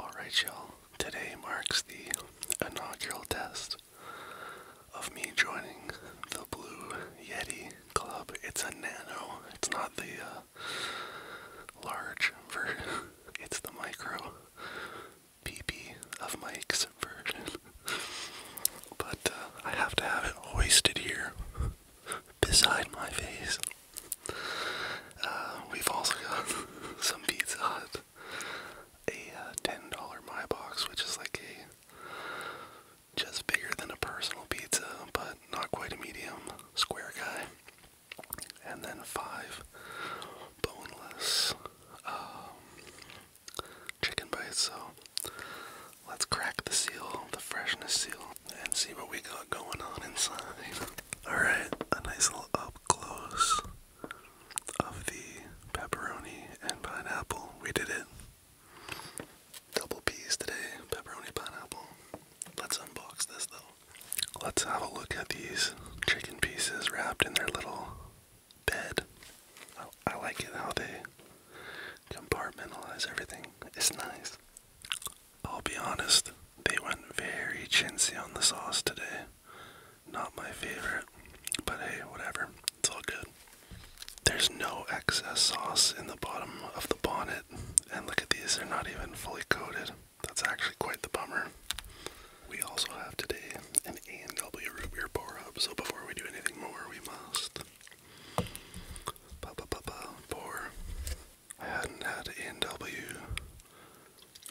Alright, y'all, today marks the inaugural test of me joining the Blue Yeti Club. It's a nano, it's not the uh, large version, it's the micro PP of Mike's version. but uh, I have to have it hoisted here beside my face. Uh, we've also got some Pizza Hut, a uh, ten dollar my box, which is like a just bigger than a personal pizza, but not quite a medium square guy. And then five boneless um, chicken bites. So let's crack the seal, the freshness seal, and see what we got going on inside. Alright, a nice little up close of the pepperoni and pineapple. We did it. Double P's today, pepperoni, pineapple. Let's unbox this though. Let's have a look at these chicken pieces wrapped in their little bed. I like it how they compartmentalize everything. It's nice. I'll be honest, they went very chintzy on the sauce today. Not my favorite, but hey, whatever. It's all good. There's no excess sauce in the bottom of the bonnet, and look at these, they're not even fully coated. That's actually quite the bummer. We also have today an A&W root beer pour up, so before we do anything more, we must. Pa, pa, pa, pa, pour I hadn't had N.W.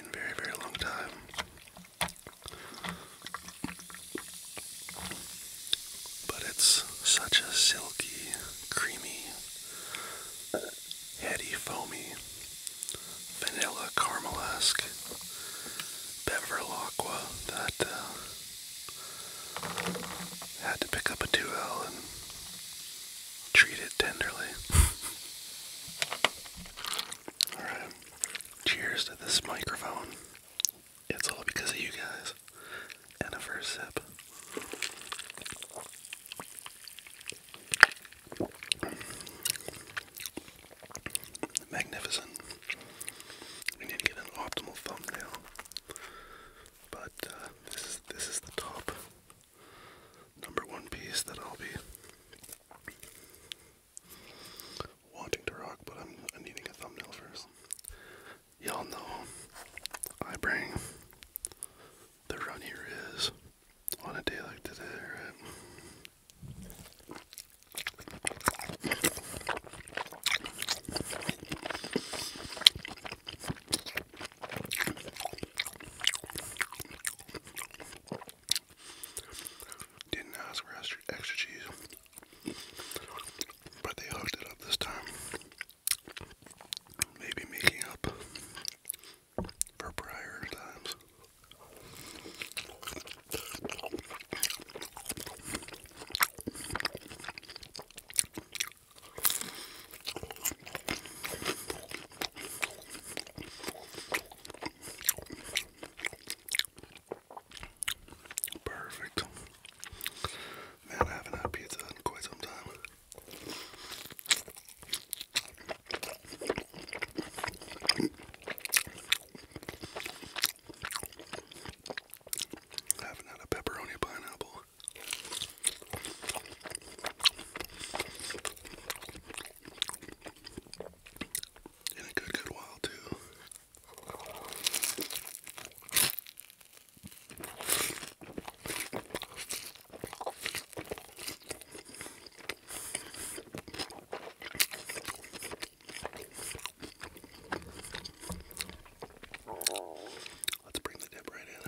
in a very, very long time. But it's such a silky, creamy, heady, foamy, vanilla caramel-esque Beveril that uh, had to pick up a 2L Treat it tenderly. Alright. Cheers to this microphone. It's all because of you guys. And a first sip. Magnificent. We need to get an optimal thumbnail. But uh, this is this is the top number one piece that I'll be wanting to rock, but I'm, I'm needing a thumbnail first. Y'all know I bring the run here is on a day like today, right? Didn't ask for extra, cheese, but they hooked it up this time. Maybe making up for prior times. Perfect. Man, I haven't had pizza in quite some time. I haven't had a pepperoni pineapple in a good, good while, too. Let's bring the dip right in.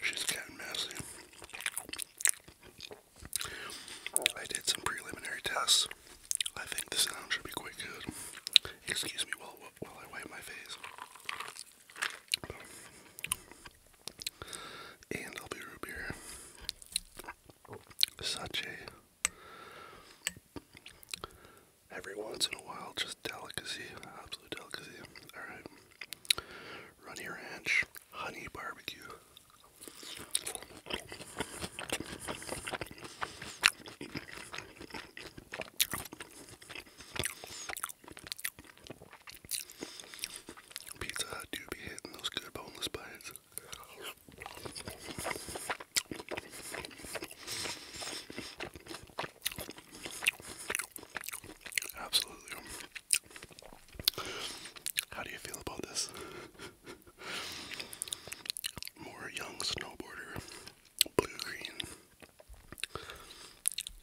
She's getting messy. I did some preliminary tests. I think the sound should be quite good. Excuse me while, while I wipe my face and I'll be root beer. Such a every once in a while, just delicacy, absolute delicacy. All right, runny ranch, honey barbecue. Pizza Hut do be hitting those good boneless bites. Absolutely. How do you feel about this? More young snowboarder, blue green,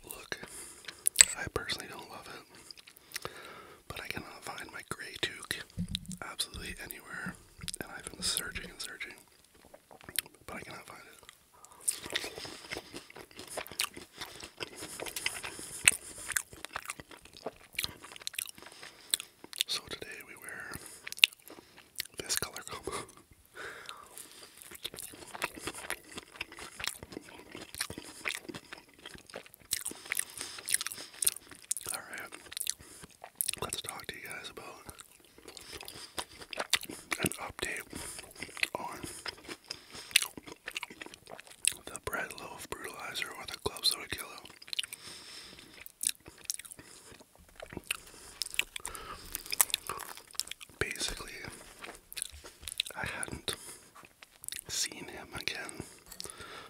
Look, I personally don't love it, but I cannot find my gray duke absolutely anywhere, and I've been searching and searching, but I cannot find it. So today we wear this color combo. All right, let's talk to you guys about an update on the bread loaf brutalizer or the club soda killer. Basically, I hadn't seen him again.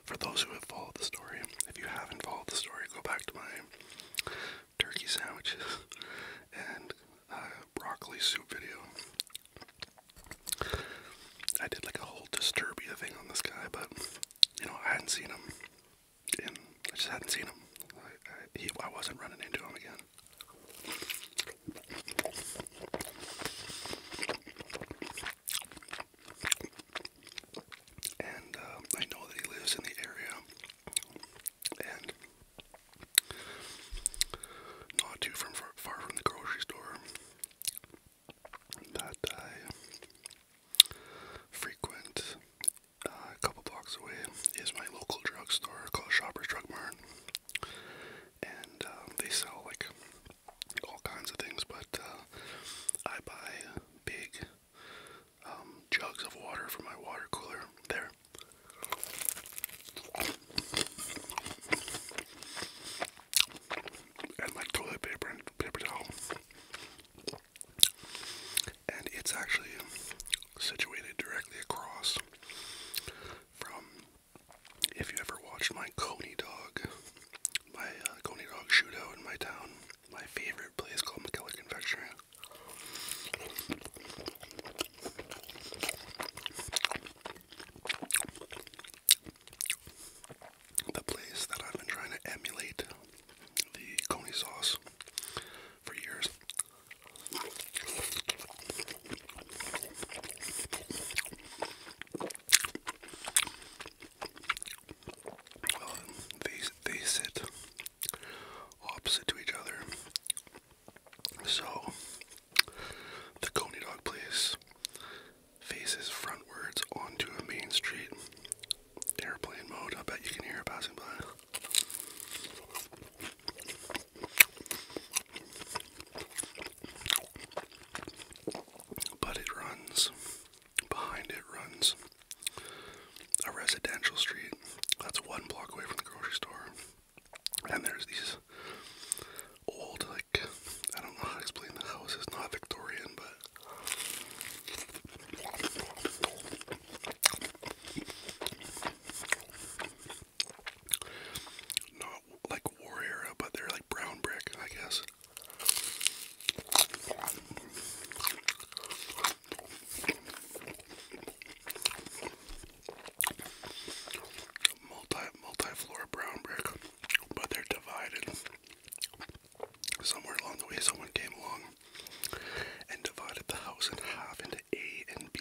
For those who have followed the story, if you haven't followed the story, go back to my turkey sandwiches and uh, broccoli soup video. I did like a whole disturbia thing on this guy, but you know, I hadn't seen him, and I just hadn't seen him. I, I wasn't running into him again. And uh, I know that he lives in the area, and not too far from the grocery store that I frequent uh, a couple blocks away is my local drugstore called Shoppers Drug Mart, and um, they sell like all kinds of things. But uh, I buy big um, jugs of water for my water cooler there. And my toilet paper and paper towel and it's actually situated directly across from if you ever watched my Coney Dog, my uh, Coney Dog shootout in my town, my favorite place called McKellar Confectionery. The place that I've been trying to emulate the Coney sauce for years they, they sit opposite to each other. So, the Coney Dog place faces frontwards onto a main street airplane mode. I bet you can hear it passing by. But it runs, behind it runs a residential street that's one block away from the grocery store. And there's these old, like, I don't know how to explain the house, is not Victorian, but not like war era, but they're like brown brick, I guess. Multi multi floor brown brick, but they're divided. Somewhere along the way, someone came along and divided the house in half into A and B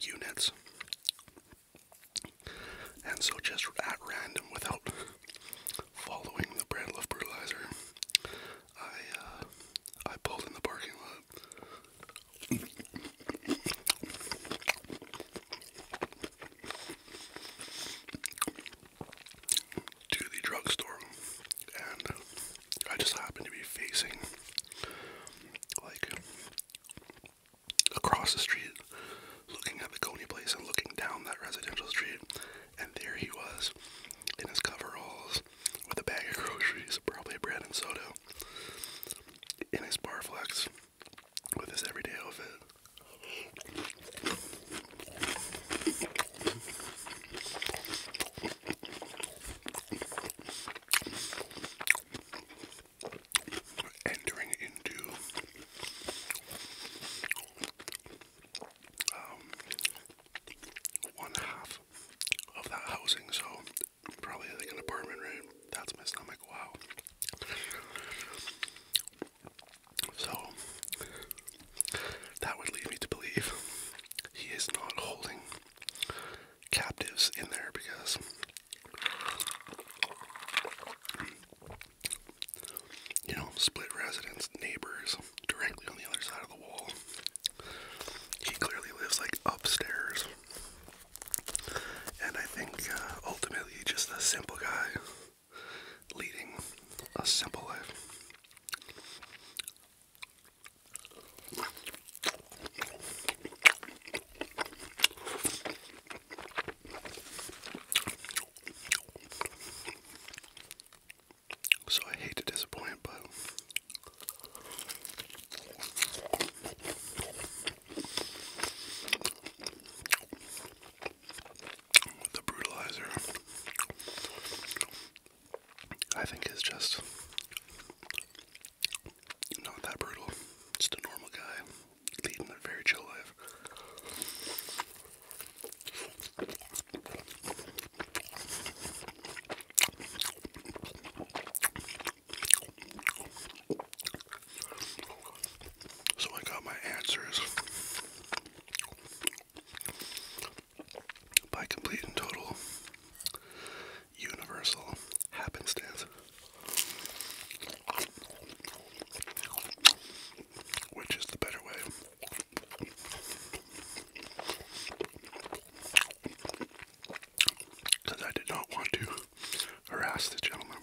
units. And so, just at random, without following the brand of fertilizer, I uh, I pulled in the parking lot to the drugstore, and I just happened to be facing like across the street, looking at the Coney place and looking down that residential street, and there he was in his coveralls with a bag of groceries, probably bread and soda, in his barflex with his everyday outfit. Entering into um, one half of that housing, so probably like an apartment, right? That's my stomach. Wow. So that would lead me to believe he is not holding captives in there because you know, split residents, neighbors, directly on the other side of the wall. He clearly lives like upstairs. And I think uh, ultimately he's just a simple guy leading a simple life. So I hate to disappoint, but the brutalizer, I think is just not that brutal. Just a normal guy leading a very chill life. So I got my answers by complete and total universal happenstance, which is the better way. Because I did not want to harass the gentleman.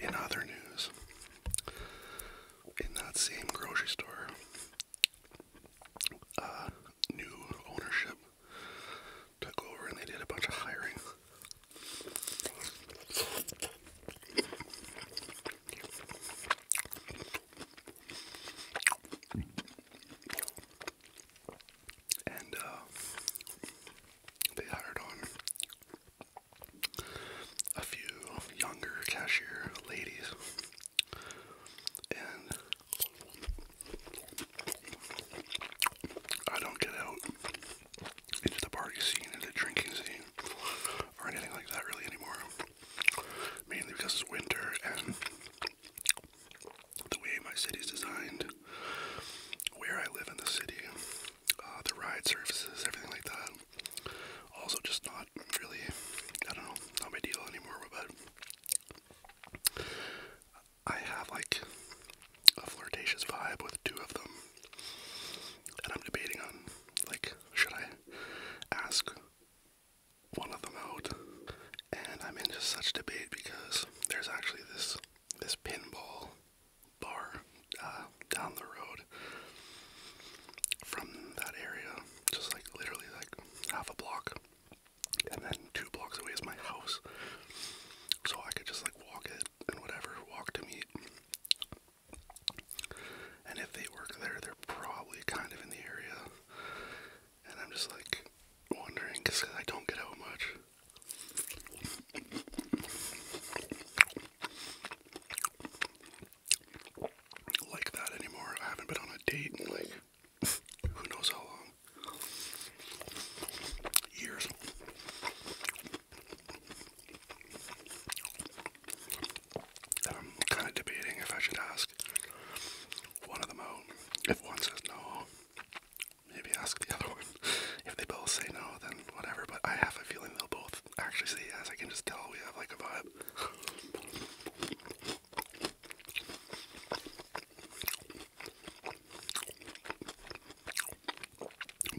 In other news, in that same grocery store, uh, new ownership took over and they did a bunch of hiring. And uh, they hired on a few younger cashier ladies. And I don't get out into the party scene, into the drinking scene, or anything like that really anymore. Mainly because it's winter and the way my city's designed, where I live in the city, uh, the ride services, everything like that. Also, just not really, I don't know, not my deal anymore, but I have like a flirtatious vibe with two of them, and I'm debating on like should I ask one of them out? And I'm in just such debate because there's actually this this pinball bar uh, down the road from that area, just like literally like half a block and then two blocks away is my house. So I could just like walk it and whatever, walk to meet. And if they work there, they're probably kind of in the area. And I'm just like wondering because I don't get out much like that anymore. I haven't been on a date in like who knows how long. Years. I'm kind of debating if I should ask one of them out. If one says no, maybe ask the other one. If they both say no, then whatever. But I have a feeling they'll both actually say yes. I can just tell we have like a vibe.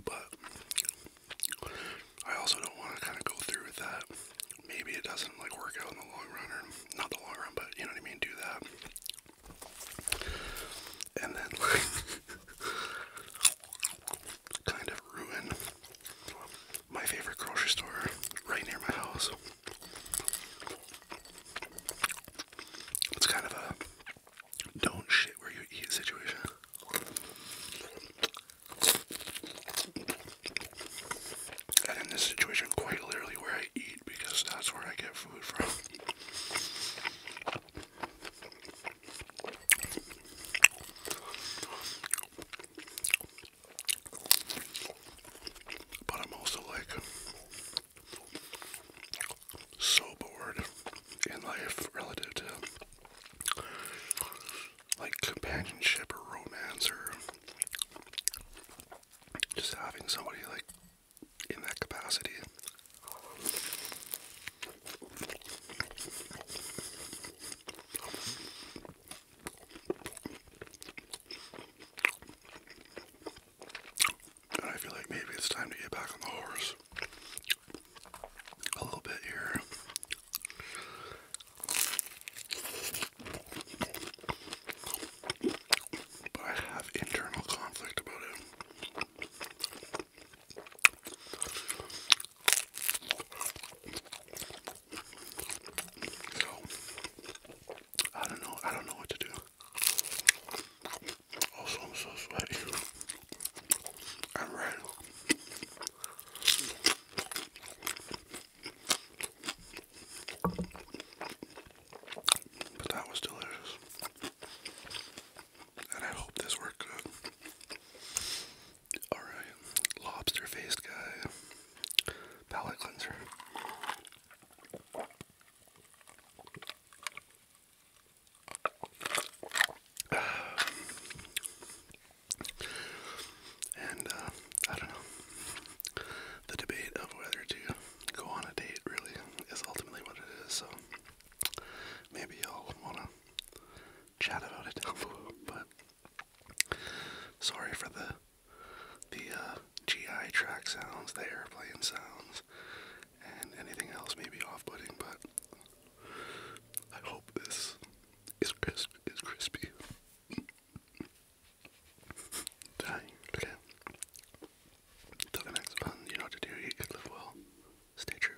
But I also don't want to kind of go through with that. Maybe it doesn't like work out in the long run, or not the long run, but you know what I mean. Do that, and then like kind of ruin my favorite grocery store right near my house. It's kind of a don't shit where you eat situation. And in this situation, quite literally where I eat because that's where I get food from. But I'm also like so bored in life relative to like companionship or romance or just having somebody like in that capacity. I feel like maybe it's time to get back on the horse a little bit here. But I have internal conflict about it. I don't know. I don't know what to do. Also, I'm so sweaty. I'm red. But that was delicious. And I hope this worked Alright, lobster faced guy, palate cleanser. And uh, I don't know. The debate of whether to go on a date really is ultimately what it is. So maybe y'all want to chat about it, but Sorry for the the uh, GI track sounds, the airplane sounds, and anything else may be off but I hope this is crisp is crispy. Dying. Okay. Till the next one, you know what to do. You could live well. Stay true.